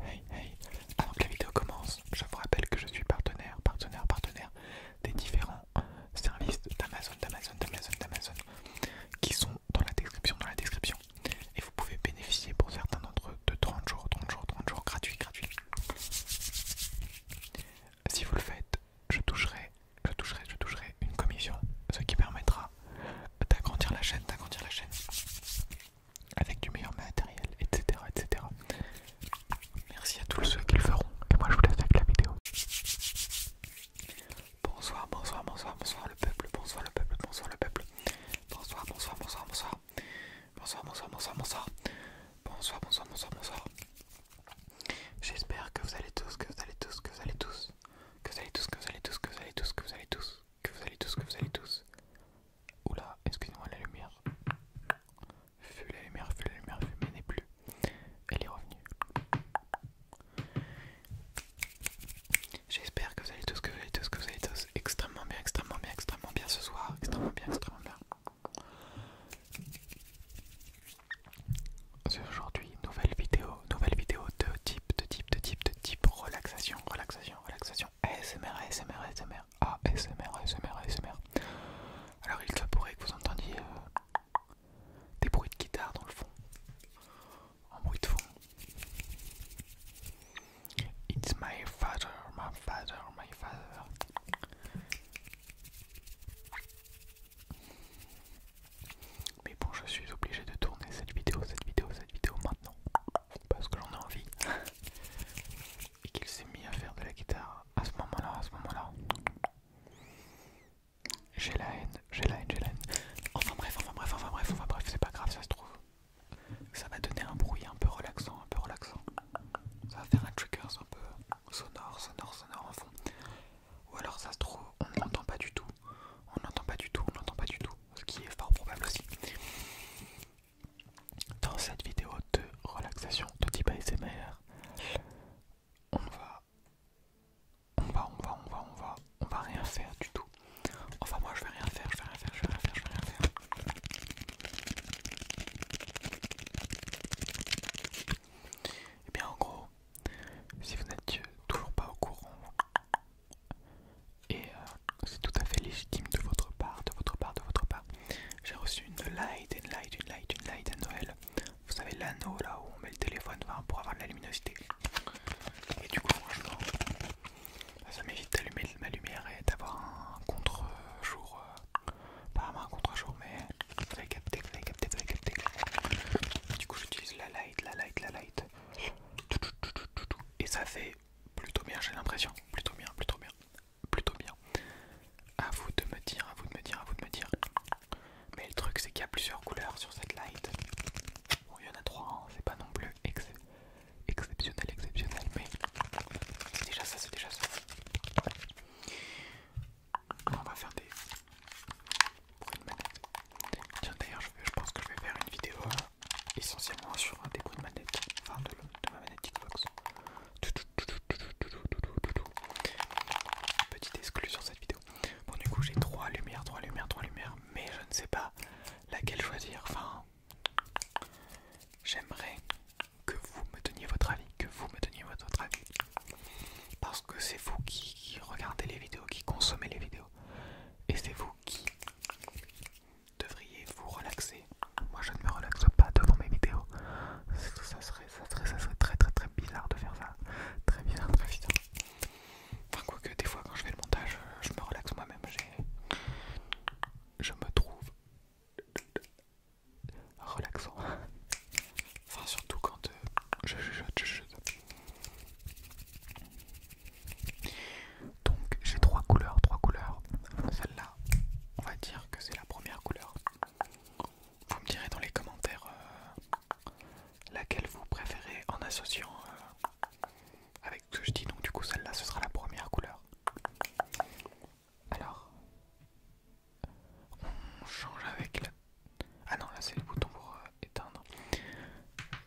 Hey hey, avant que la vidéo commence, je vous rappelle que je suis partenaire, partenaire, partenaire des différents services d'Amazon, d'Amazon, d'Amazon, d'Amazon qui sont dans la description, dans la description. Et vous pouvez bénéficier pour certains d'entre eux de 30 jours, 30 jours, 30 jours gratuits, gratuits. Si vous le faites, je toucherai, je toucherai, je toucherai une commission, ce qui permettra d'agrandir la chaîne, d'agrandir la chaîne avec du meilleur matériel, etc. etc. Merci à tous ceux qui le feront. Et moi je vous laisse avec la vidéo. Bonsoir, bonsoir, bonsoir, bonsoir le peuple, bonsoir le peuple, bonsoir le peuple. Bonsoir, bonsoir, bonsoir, bonsoir. Bonsoir, bonsoir, bonsoir, bonsoir. Bonsoir, bonsoir, bonsoir, bonsoir. J'espère que vous allez tous, que vous allez tous, que vous allez tous, que vous allez tous, que vous allez tous, que vous allez tous, que vous allez tous, que vous allez tous, que vous allez tous, Oula, excusez-moi la lumière. Fue la lumière, fut la lumière, mais n'est plus. Elle est revenue. J'espère que vous allez tous, que vous allez tous, que vous allez tous extrêmement bien, extrêmement bien, extrêmement bien ce soir, extrêmement bien, extrêmement bien. Aujourd'hui, nouvelle vidéo, nouvelle vidéo de type, de type, de type, de type relaxation, relaxation, relaxation. ASMR, ASMR, ASMR, ASMR, ASMR, Alors il se pourrait que vous entendiez euh, des bruits de guitare dans le fond, en bruit de fond. It's my father, my father, my father. Mais bon, je suis obligé de tourner cette vidéo, cette vidéo, vidéo maintenant parce que j'en ai envie et qu'il s'est mis à faire de la guitare à ce moment-là, à ce moment-là. J'ai la haine, j'ai la haine, j'ai la haine. Enfin bref, enfin bref, enfin bref, enfin bref, c'est pas grave, ça se trouve. Ça va donner un bruit un peu relaxant, un peu relaxant. Ça va faire un trigger un peu sonore, sonore, sonore en fond. Ou alors ça se trouve, on n'entend pas du tout. On n'entend pas du tout, on n'entend pas du tout. Ce qui est fort probable aussi. Dans cette vidéo de relaxation de type ASMR, on va, on va, on va, on va, on va, on va rien faire du tout. Enfin moi je vais rien faire, je vais rien faire, je vais rien faire, je vais rien faire. Et eh bien en gros, si vous n'êtes toujours pas au courant et euh, c'est tout à fait légitime de votre part, de votre part, de votre part. J'ai reçu une light, une light, une light, une light à Noël. Vous savez l'anneau là où on met le téléphone pour avoir de la luminosité. Et du coup je bah, ça m'évite d'allumer ma lumière et d'avoir un contre-jour. Apparemment euh, pas un contre-jour mais vous capter, capter, capter. Du coup j'utilise la light, la light, la light. Et ça fait plutôt bien, j'ai l'impression. Plutôt bien, plutôt bien, plutôt bien. À vous de me dire, à vous de me dire, à vous de me dire. Mais le truc, c'est qu'il y a plusieurs couleurs sur cette light. il y en a trois, hein, c'est pas non plus exceptionnel, exceptionnel, mais déjà ça, c'est déjà ça. On va faire des. Tiens, d'ailleurs, je, pense que je vais faire une vidéo. Hein essentiellement sur un débris de manette, enfin de, ma manette Petite exclusion sur cette vidéo. Bon du coup j'ai trois lumières, trois lumières, trois lumières, mais je ne sais pas laquelle choisir. Enfin, j'aimerais que vous me donniez votre avis, que vous me donniez votre avis, parce que c'est vous qui, qui regardez les vidéos, qui consommez les vidéos, et c'est vous qui devriez vous relaxer. Moi je ne me relaxe pas devant mes vidéos. Ça serait, ça serait, ça serait très très très bizarre de faire ça. Très bizarre, très bizarre. Enfin quoi que des fois quand je fais le montage, je me relaxe moi-même. Je me trouve relaxant. Enfin surtout quand euh, je je, je. Donc j'ai trois couleurs, trois couleurs. Celle-là, on va dire que c'est la première couleur. Vous me direz dans les commentaires euh, laquelle vous préférez en associant euh, avec ce que je dis. Donc du coup celle-là, ce sera la première couleur. Alors, on change avec la... Ah non, là c'est le bouton pour euh, éteindre.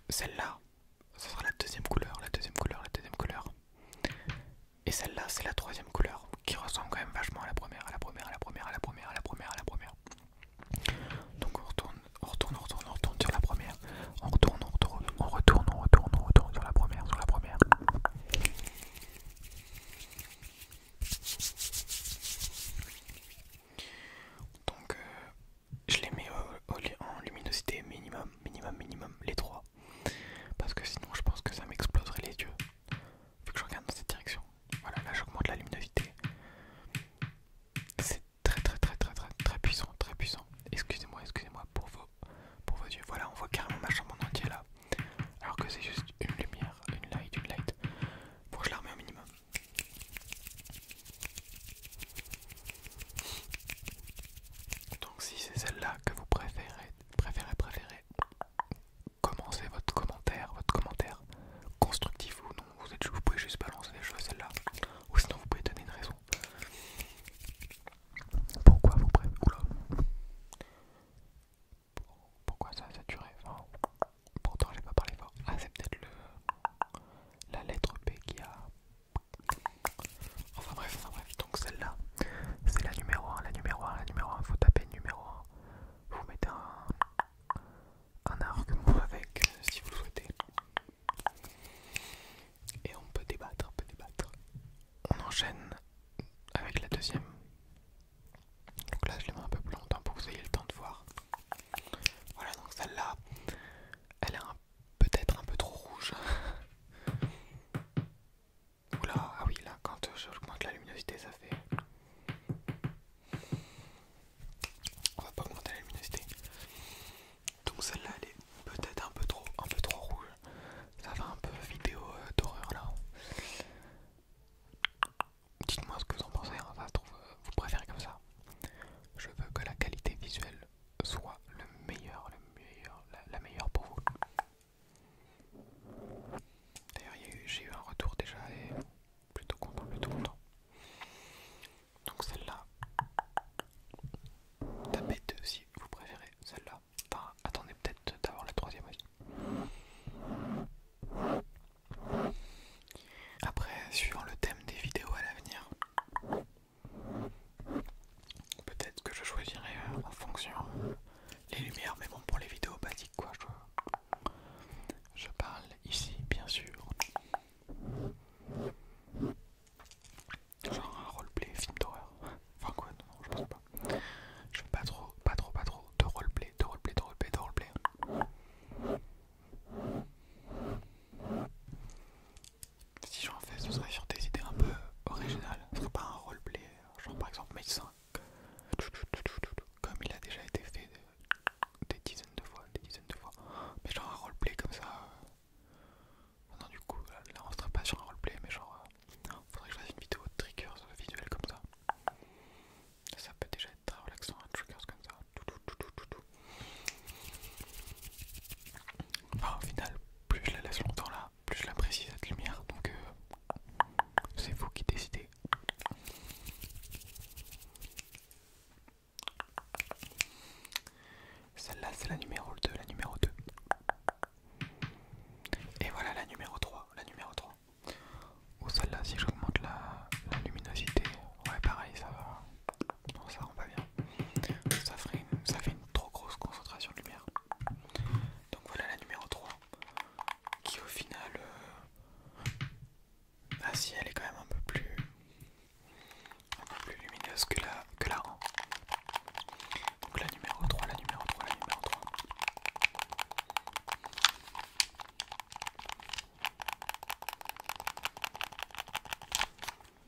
Celle-là, ça sera la deuxième couleur, la deuxième couleur, la deuxième couleur. Et celle-là, c'est la troisième couleur qui ressemble quand même vachement à la première, à la première, à la première, à la première, à la première, à la première. Donc on retourne, on retourne, on retourne, on retourne sur la première. On retourne, on retourne, on retourne, on retourne, on retourne sur la première, sur la première. Donc euh, je les mets euh, en luminosité minimum, minimum, minimum, les trois. Parce que sinon, je pense que ça m'exploserait les yeux. Vu que je regarde dans cette direction. Voilà, là j'augmente la luminosité. C'est très, très, très, très, très, très puissant, très puissant. Excusez-moi, excusez-moi pour vos, pour vos yeux. Voilà, on voit carrément ma chambre en entier là. Alors que c'est juste une lumière, une light, une light. Bon, je la remets au minimum. Donc si c'est celle-là que vous préférez, préférez, préférez, commencez votre commentaire, votre commentaire constructif ou non, vous, pouvez juste balancer les choses celle-là, ou sinon vous pouvez donner une raison. Pourquoi vous préférez... Pourquoi ça a saturé Pourtant j'ai pas parlé fort. Ah c'est peut-être le... la lettre B qui a... Enfin bref, donc celle-là, c'est la numéro 1, la numéro 1, la numéro 1, faut taper numéro 1, vous mettez un, argument avec euh, si vous le souhaitez. Et on peut débattre, on peut débattre. On enchaîne avec la deuxième. Donc là je les mets un peu plus longtemps pour que vous ayez le temps de voir. Voilà donc celle-là, elle est un peu peut-être un peu trop rouge. là ah oui, là, quand j'augmente la luminosité, ça fait. On va pas augmenter la luminosité. Donc celle-là, elle est peut-être un peu trop, un peu trop rouge. Ça va un peu vidéo euh, d'horreur là. Dites-moi ce que vous en pensez, hein, euh, vous préférez comme ça. Je veux que la qualité visuelle soit le meilleur, le meilleur, la, meilleure pour vous. D'ailleurs, j'ai eu un retour déjà et plutôt content, plutôt content. Donc celle-là, tapez deux si vous préférez celle-là. Enfin, attendez peut-être d'avoir la troisième aussi. Après, suivant le thème des vidéos à l'avenir, Peut-être que je choisirai euh, en fonction les lumières, mais bon, pour les vidéos basiques, quoi. Je, parle ici, bien sûr. Genre un roleplay film d'horreur. Enfin quoi, non, je pense pas. Je veux pas trop, pas trop, pas trop de roleplay, de roleplay, de roleplay, de roleplay si j'en fais, ce serait sur des idées un peu originales. Ce serait pas un roleplay, euh, genre par exemple 5, comme il a déjà été fait des dizaines de fois, des dizaines de fois. Mais genre un roleplay comme ça. Euh, non, du coup, là, on serait pas sur un roleplay, mais genre. il euh, Faudrait que je fasse une vidéo de triggers visuel comme ça. Ça peut déjà être très relaxant, un comme ça. Enfin, bah, au final, plus je la laisse longtemps là, plus je l'apprécie cette lumière. Donc, euh, c'est vous qui décidez. Celle-là, c'est la numéro 2, la numéro 2. Et voilà la numéro 3, la numéro 3. Ou celle-là, si j'augmente la luminosité, ouais, pareil, ça va. Non, ça rend pas bien. Ça, ferait, fait une trop grosse concentration de lumière. Donc voilà la numéro 3. Qui au final... Euh, bah si, elle est quand même un peu plus... plus lumineuse que la, rang. Donc la numéro 3, la numéro 3, la numéro 3.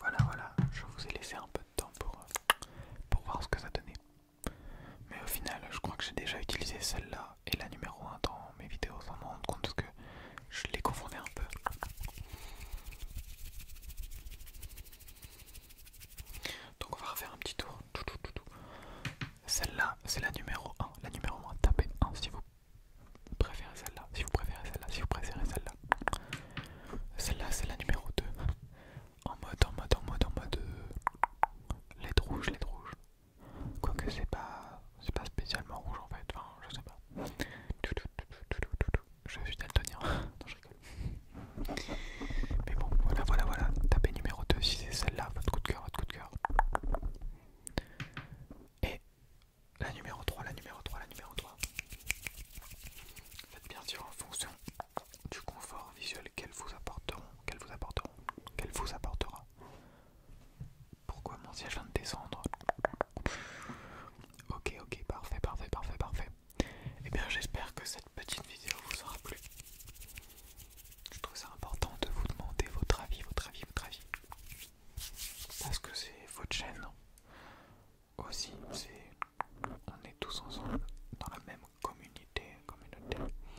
Voilà, voilà, je vous ai laissé un peu de temps pour, euh, pour voir ce que ça donnait. Mais au final, je crois que j'ai déjà utilisé celle-là et la numéro 1 dans mes vidéos sans me rendre compte que je les confondais un peu. Donc on va refaire un petit tour. Celle-là, c'est la numéro 1. La numéro 1, tapez 1 si vous préférez celle-là. Si vous préférez celle-là, si vous préférez celle-là. Celle-là, c'est la numéro 2. En mode, en mode, en mode, en mode. Euh, rouges rouge, rouges rouge. Quoique c'est pas. C'est pas spécialement rouge en fait. Enfin, je sais pas. Je suis daltonien. non, je mais bon, voilà, voilà, voilà. Tapez numéro 2 si c'est celle-là, votre coup de cœur, votre coup de cœur. Et la numéro 3, la numéro 3, la numéro 3. Faites bien sûr en fonction du confort visuel qu'elles vous apporteront, qu'elles vous apporteront, qu'elle vous apportera. Pourquoi mon siège vient de descendre Ok, ok, parfait, parfait, parfait, parfait. Et eh bien j'espère que cette petite vidéo vous aura plu. Je trouve ça important de vous demander votre avis, votre avis, votre avis. Parce que c'est votre chaîne. Aussi, c'est... On est tous ensemble dans la même communauté. communauté.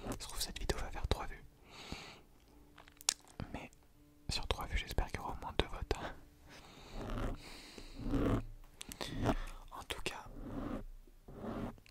Je trouve que cette vidéo va faire 3 vues. Mais sur 3 vues, j'espère qu'il y aura au moins 2 votes. En tout cas,